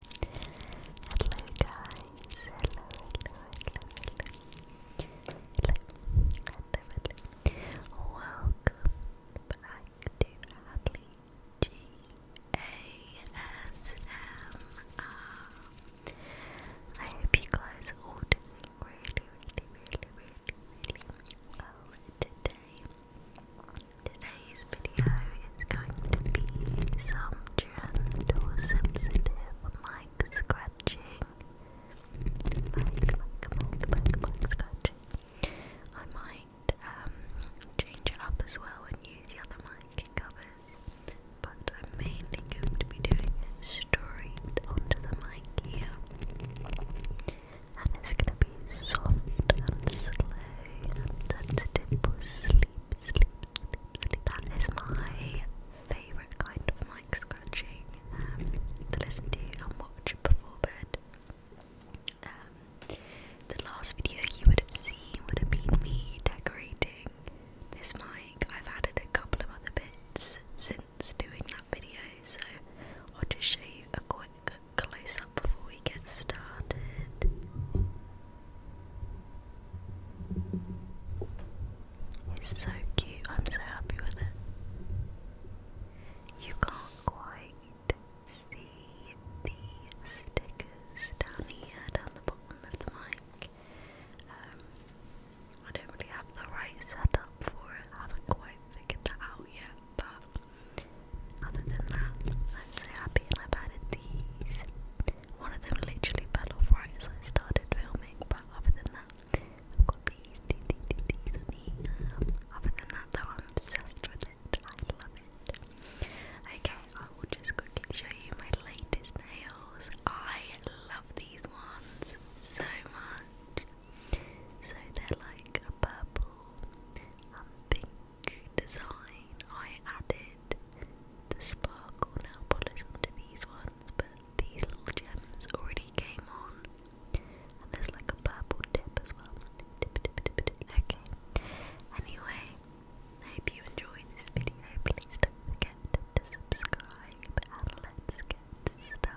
Hello guys, hello, hello, hello, hello, hello, hello, hello. Welcome to Hadley G A S M R. I hope you guys are all really, really, really, really, really well today. Today's video is going to be some gentle, sensitive mic scratching. I might um, change it up as well and use the other mic covers, but I'm mainly going to be doing it straight the mic here. And it's going to be soft and slow and sensitive for sleep sleep, sleep, sleep, That is my favourite kind of mic scratching um, to listen to and watch before bed. Um, the last video you would have seen would have been me decorating this mic. I've added a couple of other bits since doing that video, so I'll just show you a quick close up before we get started. It's so cute, I'm so happy with it. You can't quite see the stickers down here, down the bottom of the mic. Um, I don't really have the right setup for it, haven't quite figured that out yet, but other than that, I'm so happy I've added these. One of them literally fell off right as I started filming, but other than that, I've got these, these, these, these on here. Other than that though, I'm obsessed with it. I love it. Okay, I will just quickly show you my latest nails. I love these ones so much. So they're like a purple and um, pink design, I added the sparkle nail polish onto these ones, but these little gems already came on. And there's like a purple tip as well. Okay. Anyway, I hope you enjoyed this video. Please don't forget to subscribe let's get started.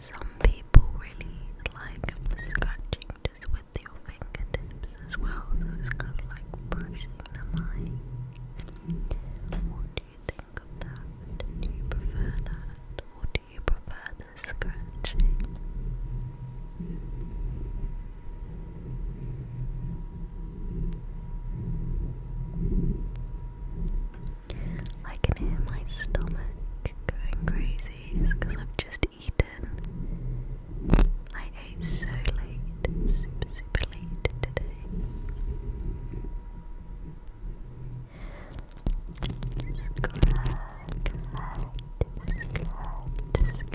Some people really like scratching just with your fingertips as well, so kind of like brushing the mind. What do you think of that? Do you prefer that, or do you prefer the scratching? I can hear my stomach going crazy because I've just eaten. I ate so late, super, super late today. Scratch, scratch, scratch, scratch.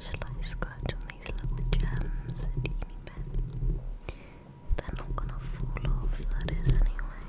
Shall I scratch on these little gems a teeny They're not gonna fall off, that is, anyway.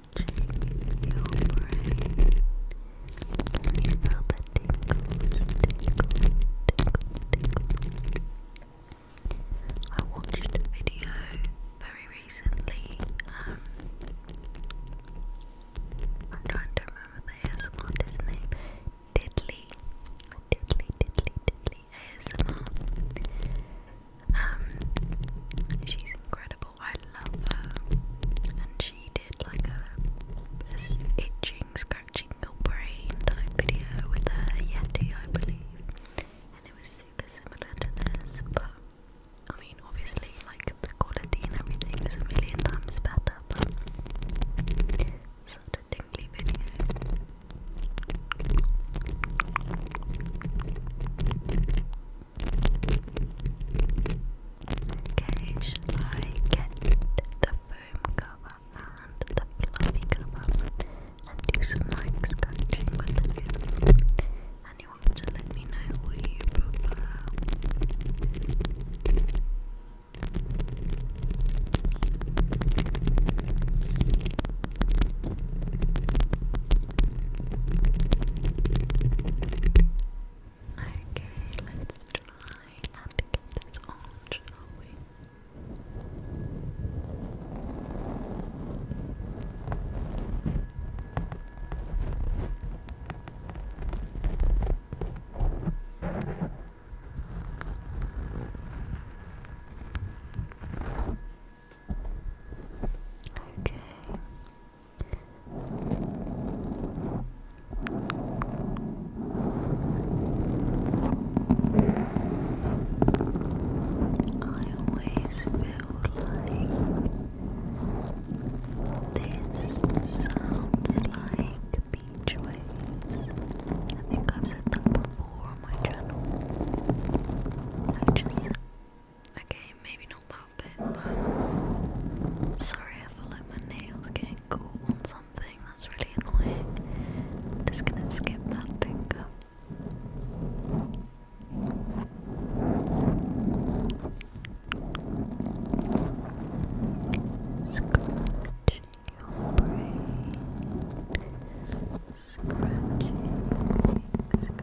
touching You feel the tingles, tingles, tingles, I watched a video very recently. I'm trying to remember the ASMR artist's name. Diddley, Diddley, Diddley, Diddley ASMR. Um, she's incredible. I love her. And she did like a, this itching, scratching your brain type video with a Yeti, I believe. And it was super similar to this, but I mean, obviously, like the quality and everything is a million times better, but such a tingly video. Okay, shall I get the foam cover and the fluffy cover and do some like scratching And you want to let me know what you prefer. Okay, let's try and get this on, shall we? Okay. I always feel like this sounds like beach waves. I think I've said that before on my channel. I just Okay, maybe not that bit, sorry, I feel like my nails getting caught on something. That's really annoying. just gonna skip that finger. Scratching your brain, scratching.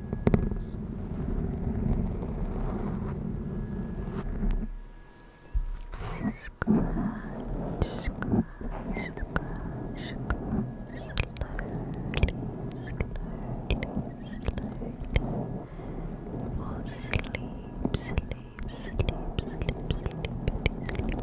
Scratch, scratch, scratch, scratch, slowly, slowly, slowly. For sleep, sleep, sleep, sleep, sleep, sleep, sleep.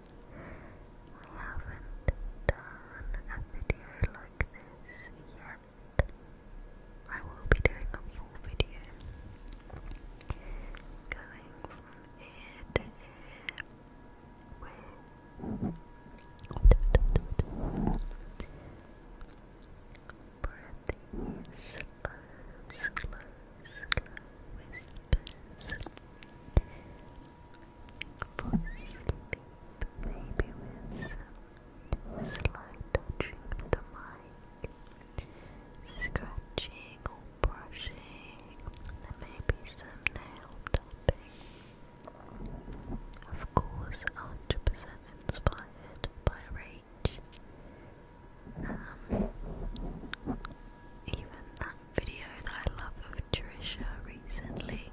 We haven't done a video like this yet. I will be doing a full video going from ear to ear with breathy, slow, slow, slow whispers for sleep, maybe with some slight touching of the mic, scratching or brushing, and maybe some nail tapping. Of course, 100% inspired by Rage. Um, even though video that I love of Trisha recently.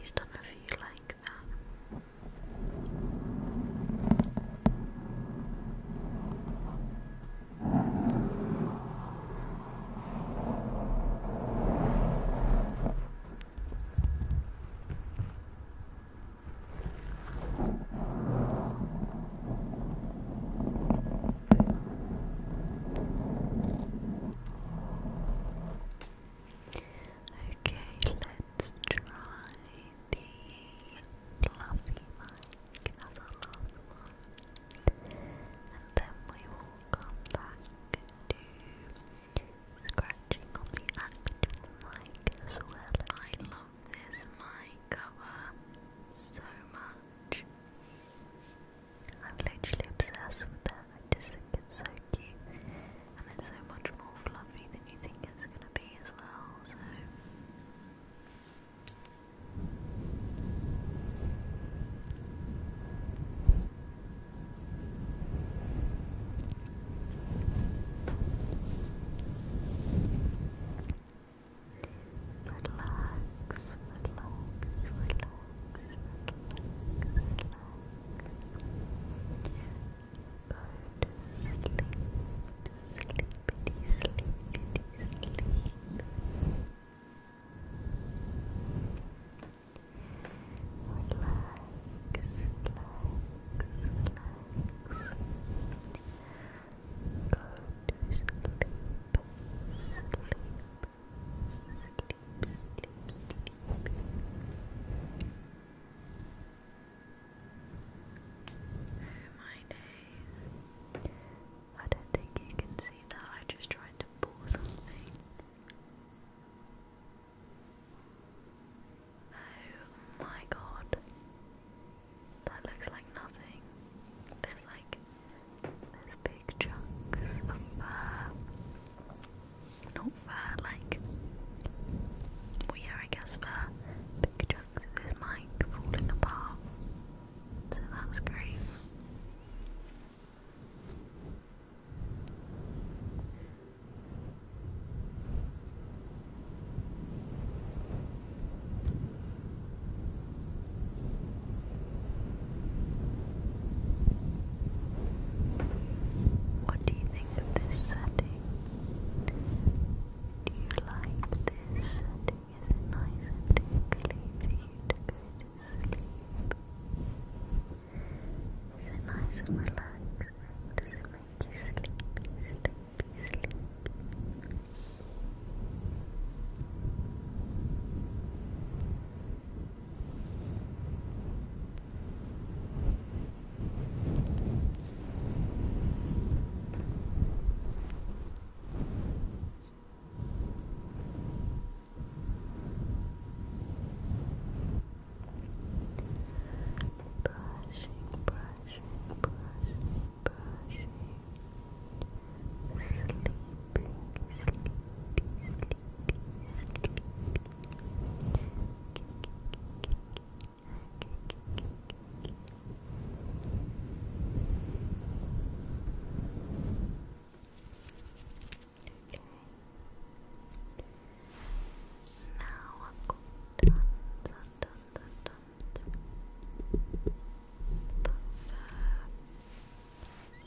He's done a few like that. Okay, let's try the fluffy mic as our last one. And then we will come back to scratching on the actual mic as well. I love this mic cover so much. I'm literally obsessed with that. I just think it's so cute, and it's so much more fluffy than you think it's gonna be as well. So relax, relax, relax, relax. Go to sleep, sleepity, sleepity, sleep. Relax, relax, relax. Go My days. I don't think you can see that. I just tried to pull something. Oh my god. That looks like nothing. There's like there's big chunks of fur. Not fur, like well yeah I guess fur. Big chunks of his mic falling apart. So that's great. What do you think of this setting? Do you like this setting? Is it nice and tingly for you to sleep? Is it nice and relaxing? Does it make you sleepy, sleepy, sleepy? Brushing, brushing, brushing brushing, sleeping, sleepy, sleepy, sleepy. Okay. Now I'm done, stuck,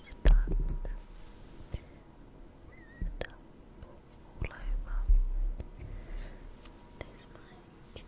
stuck all over this mic. Okay.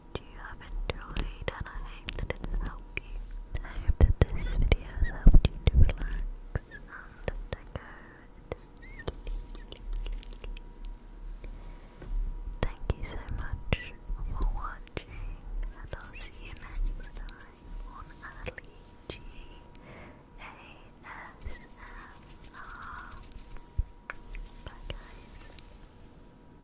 that you have enjoyed and I hope that this video has helped you to relax Thank you so much for watching and I'll see you next time on Ali G A S M R. Bye guys.